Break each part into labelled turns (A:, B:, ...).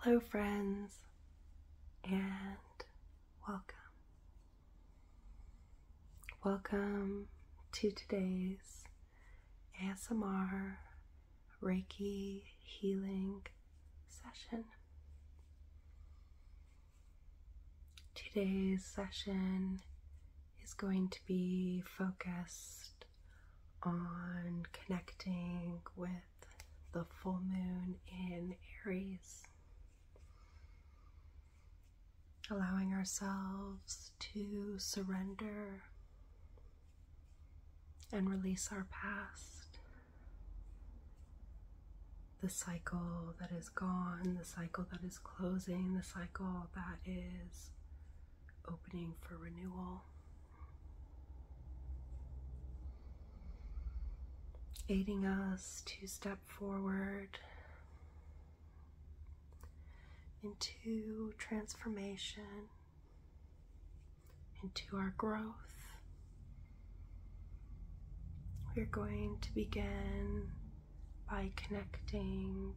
A: Hello, friends, and welcome. Welcome to today's ASMR Reiki healing session. Today's session is going to be focused on connecting with the full moon in Aries, allowing ourselves to surrender and release our past, the cycle that is gone, the cycle that is closing, the cycle that is opening for renewal. Aiding us to step forward into transformation, into our growth we're going to begin by connecting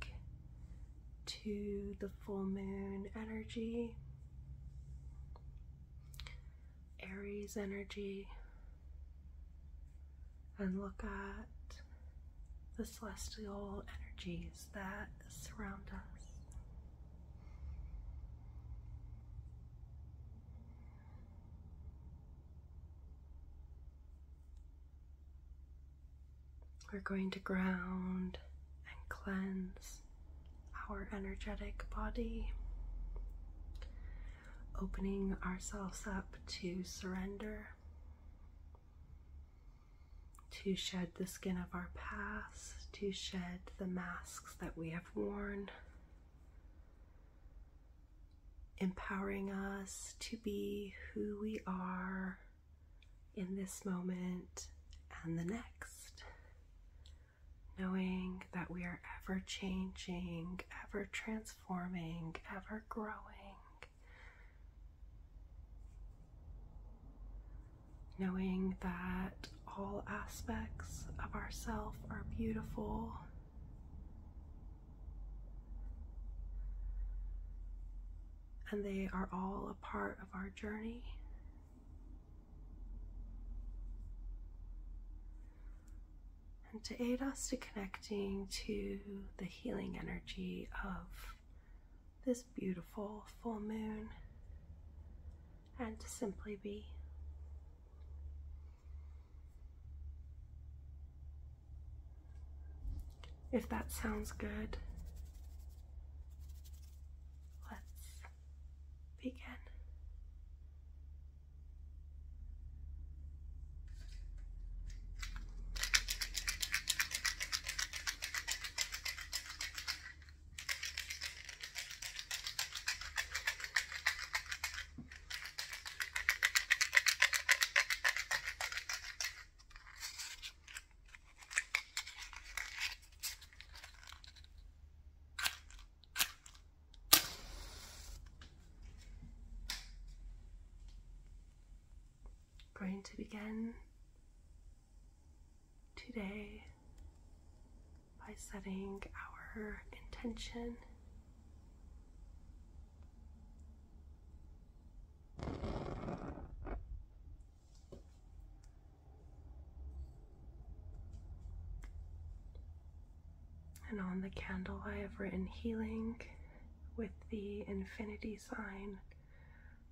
A: to the full moon energy, Aries energy, and look at the celestial energies that surround us. We're going to ground and cleanse our energetic body, opening ourselves up to surrender, to shed the skin of our past, to shed the masks that we have worn, empowering us to be who we are in this moment and the next. Knowing that we are ever changing, ever transforming, ever growing. Knowing that all aspects of ourself are beautiful and they are all a part of our journey. And to aid us to connecting to the healing energy of this beautiful full moon and to simply be if that sounds good, let's begin. Going to begin today by setting our intention. And on the candle, I have written healing with the infinity sign,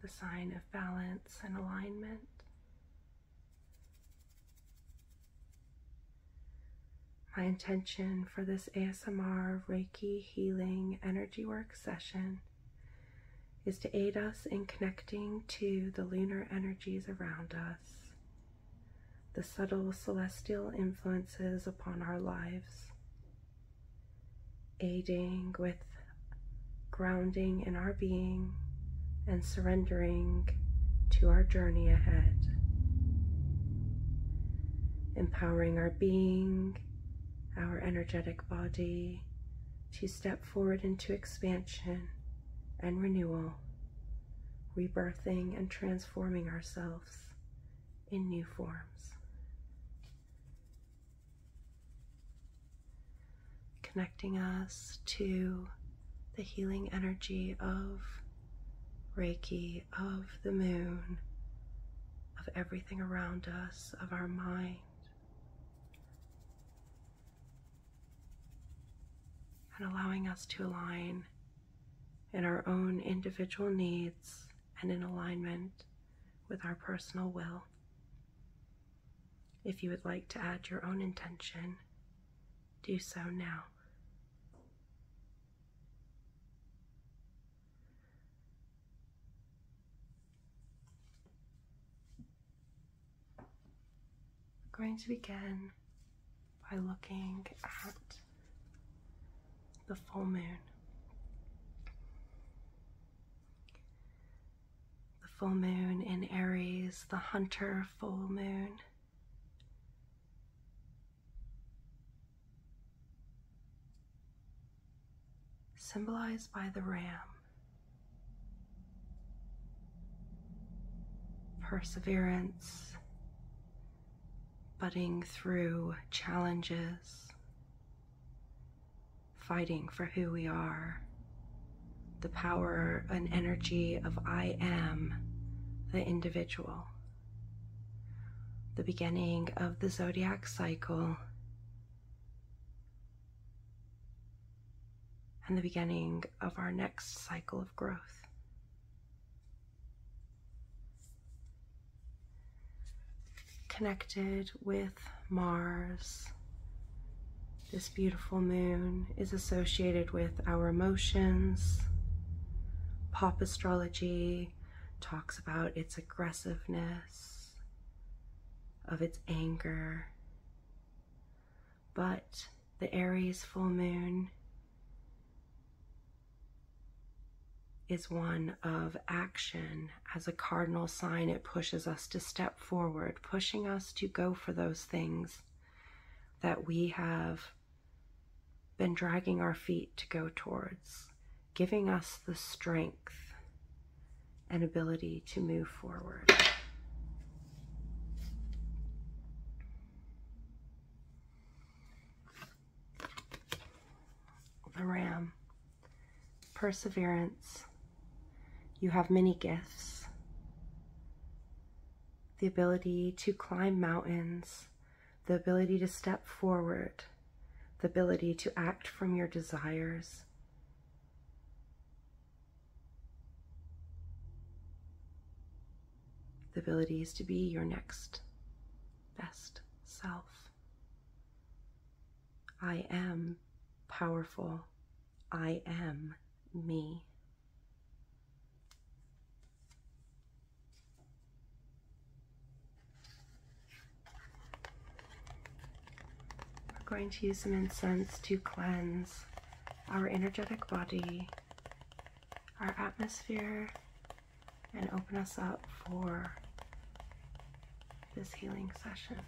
A: the sign of balance and alignment. My intention for this ASMR Reiki healing energy work session is to aid us in connecting to the lunar energies around us, the subtle celestial influences upon our lives, aiding with grounding in our being and surrendering to our journey ahead, empowering our being, our energetic body, to step forward into expansion and renewal, rebirthing and transforming ourselves in new forms. Connecting us to the healing energy of Reiki, of the moon, of everything around us, of our mind, and allowing us to align in our own individual needs and in alignment with our personal will. If you would like to add your own intention, do so now. We're going to begin by looking at the full moon. The full moon in Aries, the hunter full moon symbolized by the ram. Perseverance, butting through challenges, fighting for who we are, the power and energy of I am, the individual. The beginning of the zodiac cycle and the beginning of our next cycle of growth. Connected with Mars, this beautiful moon is associated with our emotions. Pop astrology talks about its aggressiveness, of its anger. But the Aries full moon is one of action. As a cardinal sign, it pushes us to step forward, pushing us to go for those things that we have been dragging our feet to go towards, giving us the strength and ability to move forward. The Ram, perseverance. You have many gifts. The ability to climb mountains, the ability to step forward, the ability to act from your desires, the ability is to be your next best self. I am powerful. I am me. We're going to use some incense to cleanse our energetic body, our atmosphere, and open us up for this healing session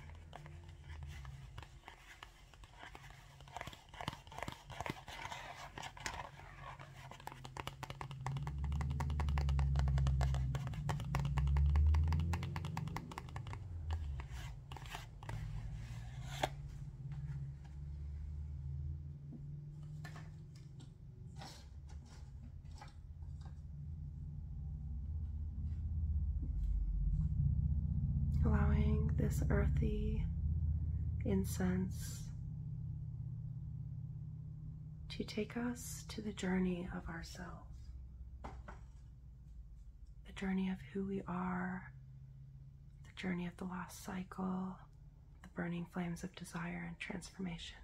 A: allowing this earthy incense to take us to the journey of ourselves the journey of who we are, the journey of the lost cycle, the burning flames of desire and transformation.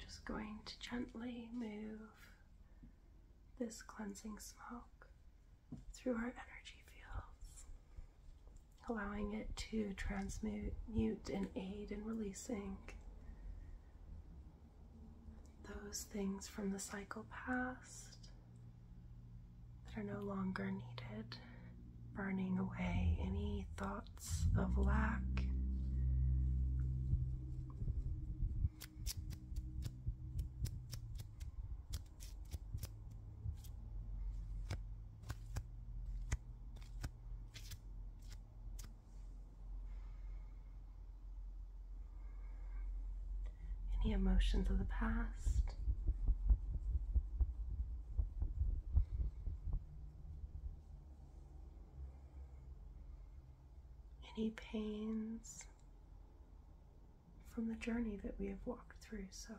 A: Just going to gently move this cleansing smoke through our energy fields, allowing it to transmute and aid in releasing those things from the cycle past that are no longer needed, burning away any thoughts of lack. Any emotions of the past? Any pains? from the journey that we have walked through so far.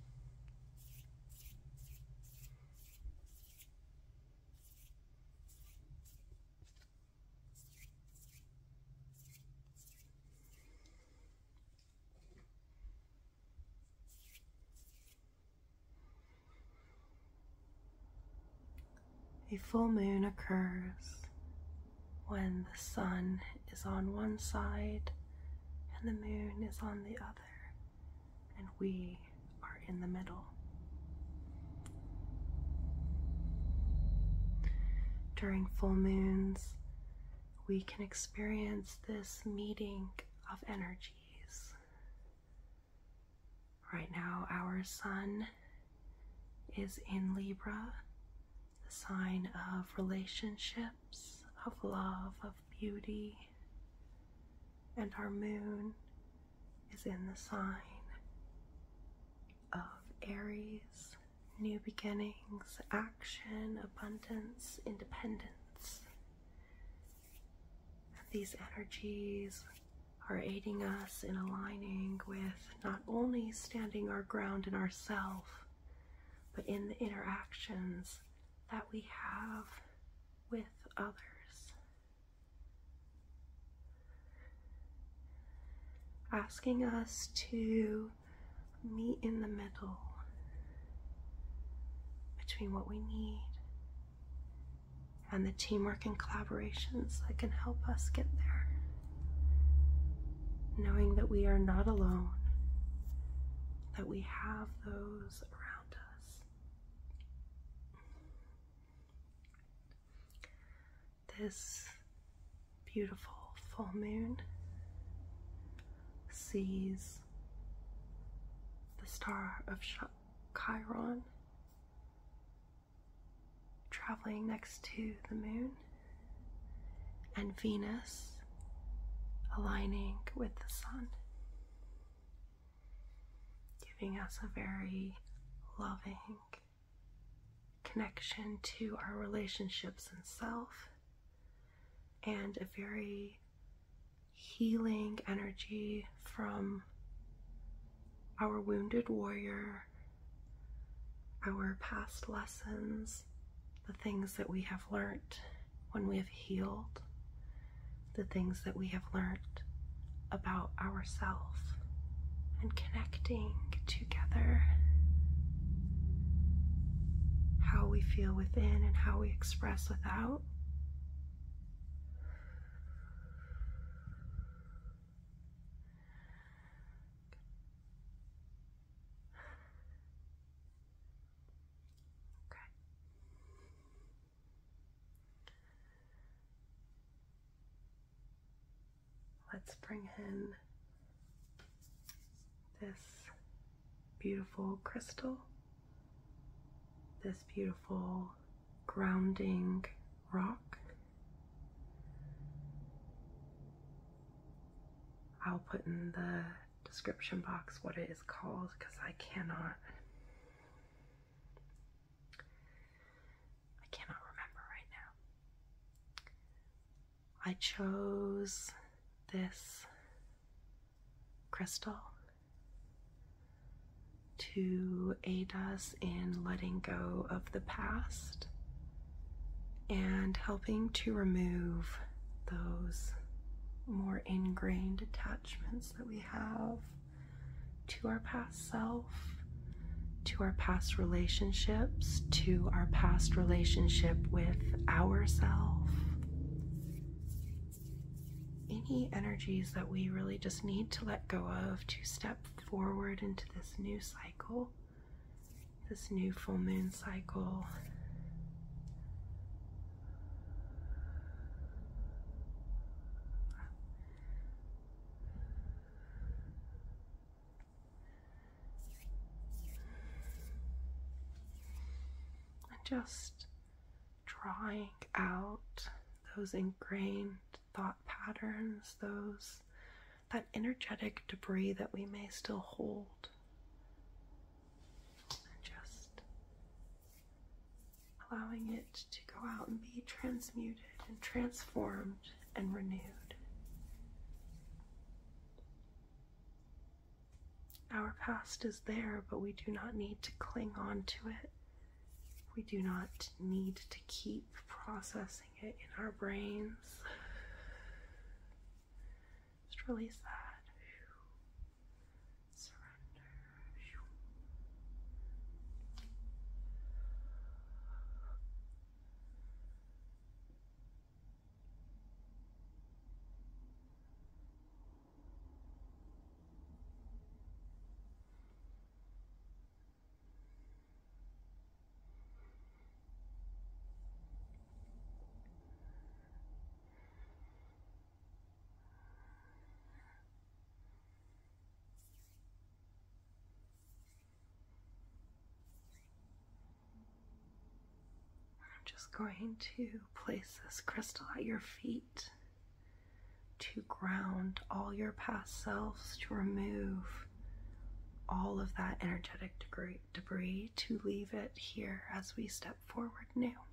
A: A full moon occurs when the sun is on one side and the moon is on the other, and we are in the middle. During full moons, we can experience this meeting of energies. Right now, our sun is in Libra the sign of relationships, of love, of beauty. And our moon is in the sign of Aries, new beginnings, action, abundance, independence. And these energies are aiding us in aligning with not only standing our ground in ourself, but in the interactions that we have with others. Asking us to meet in the middle between what we need and the teamwork and collaborations that can help us get there knowing that we are not alone, that we have those around us. This beautiful full moon sees the star of Chiron traveling next to the moon and Venus aligning with the sun, giving us a very loving connection to our relationships and self, and a very healing energy from our wounded warrior, our past lessons, the things that we have learned when we have healed, the things that we have learned about ourselves and connecting together. How we feel within and how we express without. Okay. Let's bring in this beautiful crystal, this beautiful grounding rock. I'll put in the description box what it is called because I cannot I cannot remember right now. I chose this crystal to aid us in letting go of the past and helping to remove those more ingrained attachments that we have to our past self, to our past relationships, to our past relationship with ourself. Any energies that we really just need to let go of to step forward into this new cycle this new full moon cycle. And just drawing out those ingrained thought patterns, those that energetic debris that we may still hold just allowing it to go out and be transmuted and transformed and renewed. Our past is there, but we do not need to cling on to it. We do not need to keep processing it in our brains. Just release that. Surrender. I'm just going to place this crystal at your feet to ground all your past selves, to remove all of that energetic debris to leave it here as we step forward now.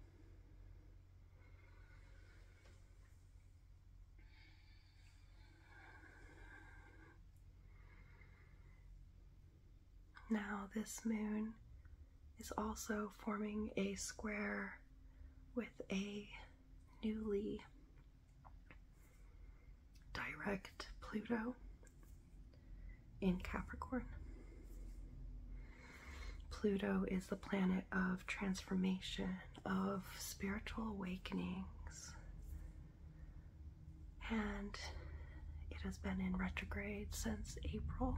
A: Now, this moon is also forming a square with a newly direct Pluto in Capricorn. Pluto is the planet of transformation, of spiritual awakenings, and it has been in retrograde since April.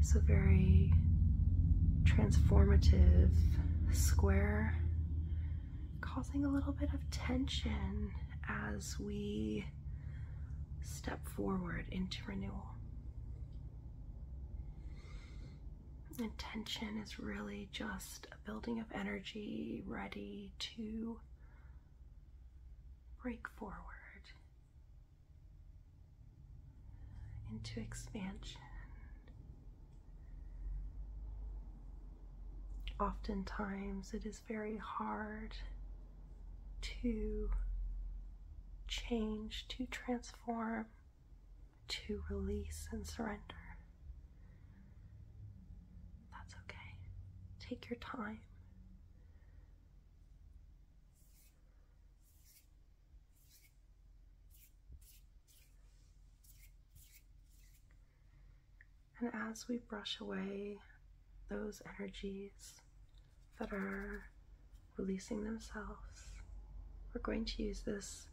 A: So, very transformative square, causing a little bit of tension as we step forward into renewal. Intention is really just a building of energy ready to break forward into expansion. Oftentimes, it is is very hard to change, to transform, to release and surrender. That's okay. Take your time. And as we brush away those energies that are releasing themselves, we're going to use this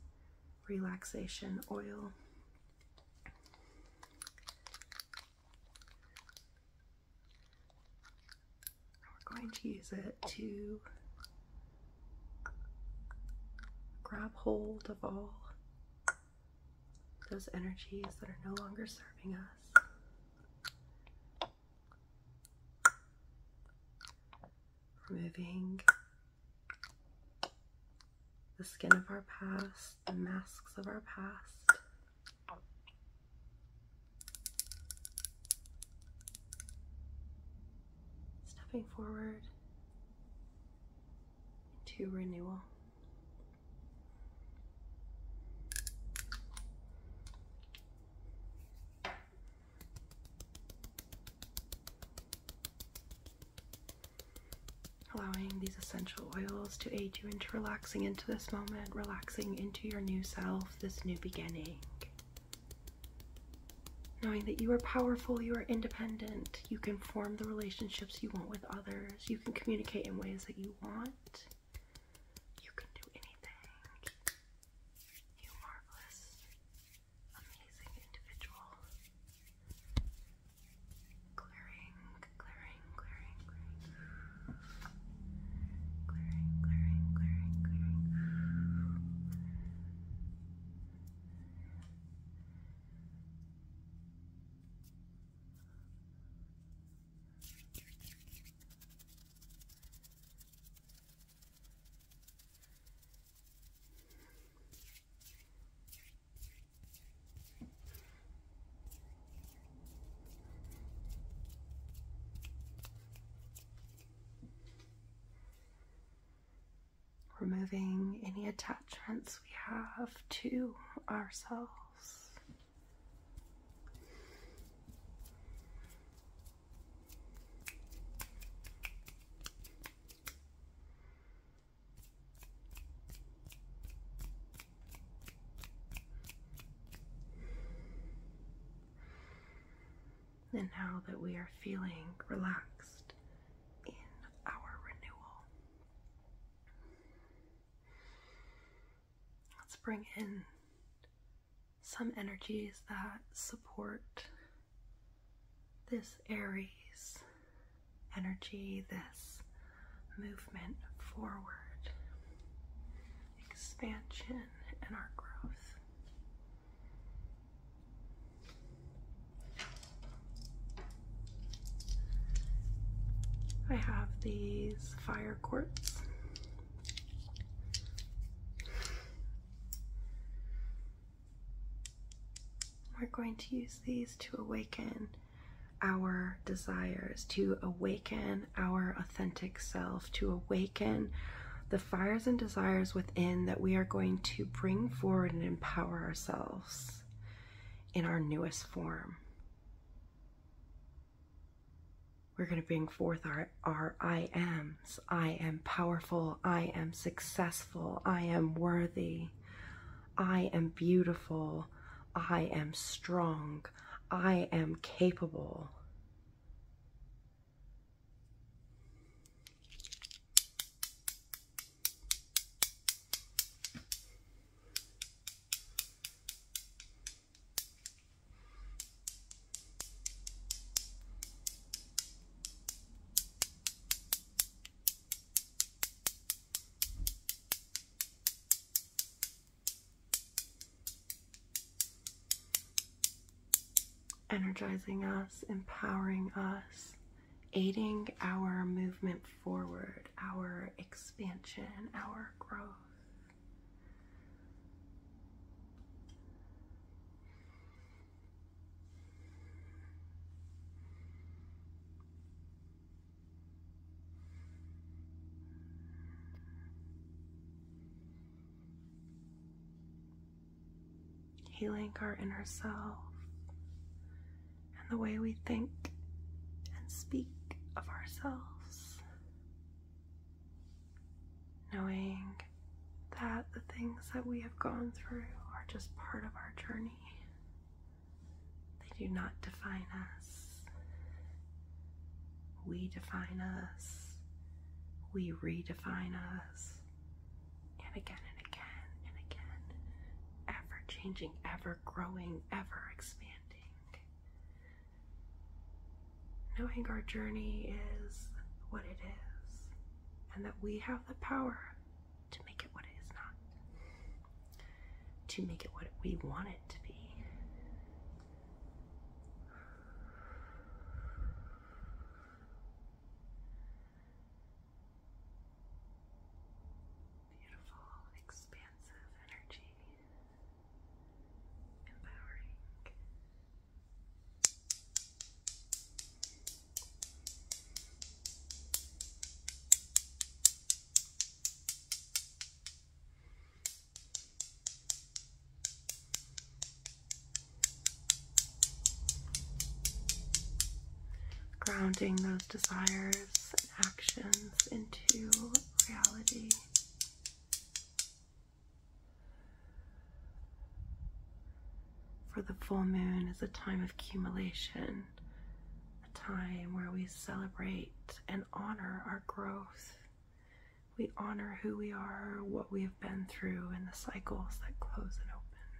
A: relaxation oil. We're going to use it to grab hold of all those energies that are no longer serving us. Removing the skin of our past, the masks of our past. Stepping forward to renewal. Allowing these essential oils to aid you into relaxing into this moment, relaxing into your new self, this new beginning. Knowing that you are powerful, you are independent, you can form the relationships you want with others, you can communicate in ways that you you want. You can do anything. You marvelous, amazing individual. Clearing, clearing, clearing, clearing. Clearing, clearing, clearing, clearing. Removing any attachments we have to ourselves. And now that we are feeling relaxed in our renewal, Let's bring in some energies that support this Aries energy, this movement forward, expansion, and our growth. I have these fire quartz. We're going to use these to awaken our desires, to awaken our authentic self, to awaken the fires and desires within that we are going to bring forward and empower ourselves in our newest form. We're going to bring forth our, our I ams. I am powerful. I am successful. I am worthy. I am beautiful. I am strong. I am capable energizing us, empowering us, aiding our movement forward, our expansion, our growth. Healing our inner self, and the way we think and speak of ourselves. Knowing that the things that we have gone through are just part of our journey, they do not define us. We define us, we redefine us, and again and again and again, ever changing, ever growing, ever expanding. Knowing our journey is what it is, and that we have the power to make it what it is not, to make it what we want it to be. Beautiful, expansive energy empowering. Grounding those desires and actions into reality. For the full moon is a time of accumulation, a time where we celebrate and honor our growth. We honor who we are, what we have been through, and the cycles that close and open.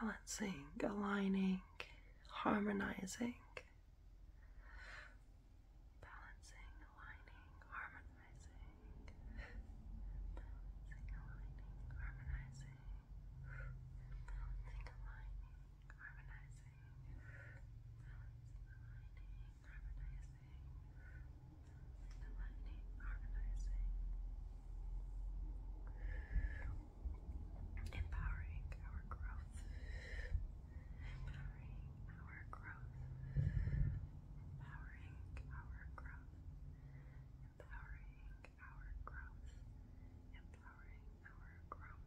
A: balancing, aligning, harmonizing. Balancing, aligning, harmonizing. Balancing, aligning, harmonizing. Balancing, aligning, harmonizing. Balancing, aligning, harmonizing. Balancing, aligning, harmonizing. Empowering our growth. Empowering our growth. Empowering our growth. Empowering our growth. Empowering our growth. Empowering our growth.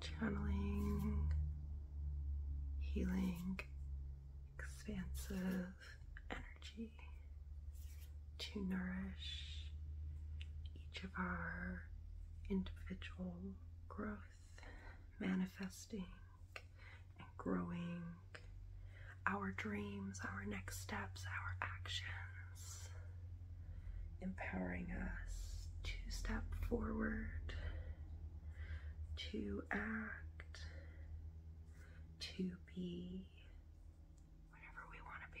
A: Channeling, healing, expansive energy to nourish each of our individual growth, manifesting and growing our dreams, our next steps, our actions, empowering us to step forward, to act, to be whatever we want to be.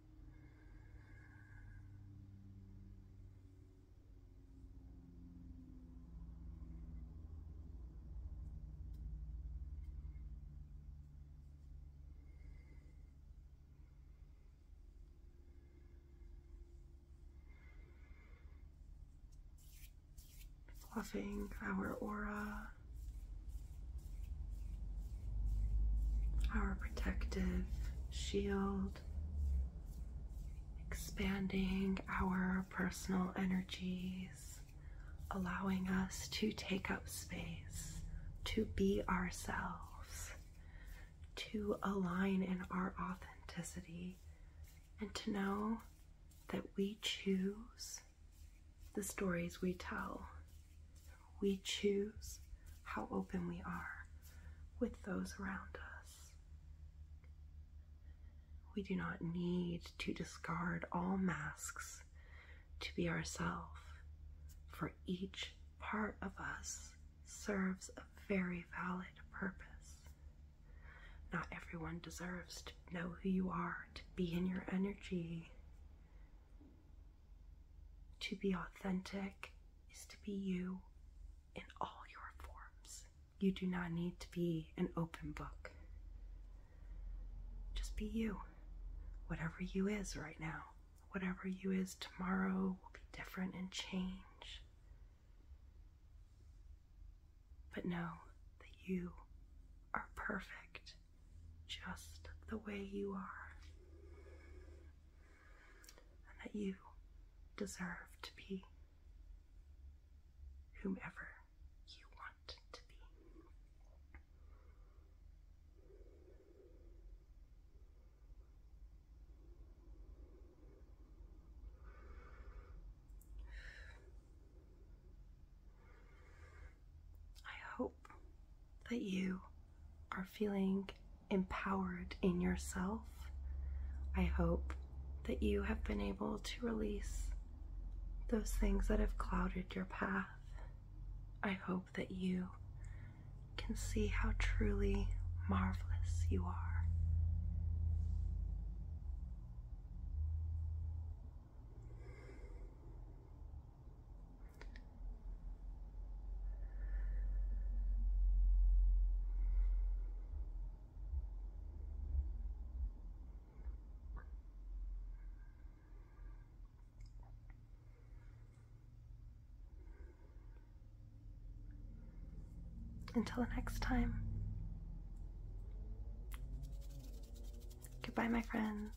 A: Fluffing our aura our protective shield, expanding our personal energies, allowing us to take up space, to be ourselves, to align in our authenticity, and to know that we choose the stories we tell. We choose how open we are with those around us. We do not need to discard all masks to be ourselves, for each part of us serves a very valid purpose. Not everyone deserves to know who you are, to be in your energy, to be authentic is to be you in all your forms. You do not need to be an open book. Just be you. Whatever you is right now, whatever you is tomorrow will be different and change. But know that you are perfect just the way you are, and that you deserve to be whomever you want to be. I that you are feeling empowered in yourself. I hope that you have been able to release those things that have clouded your path. I hope that you can see how truly marvelous you are. Until the next time. Goodbye, my friends.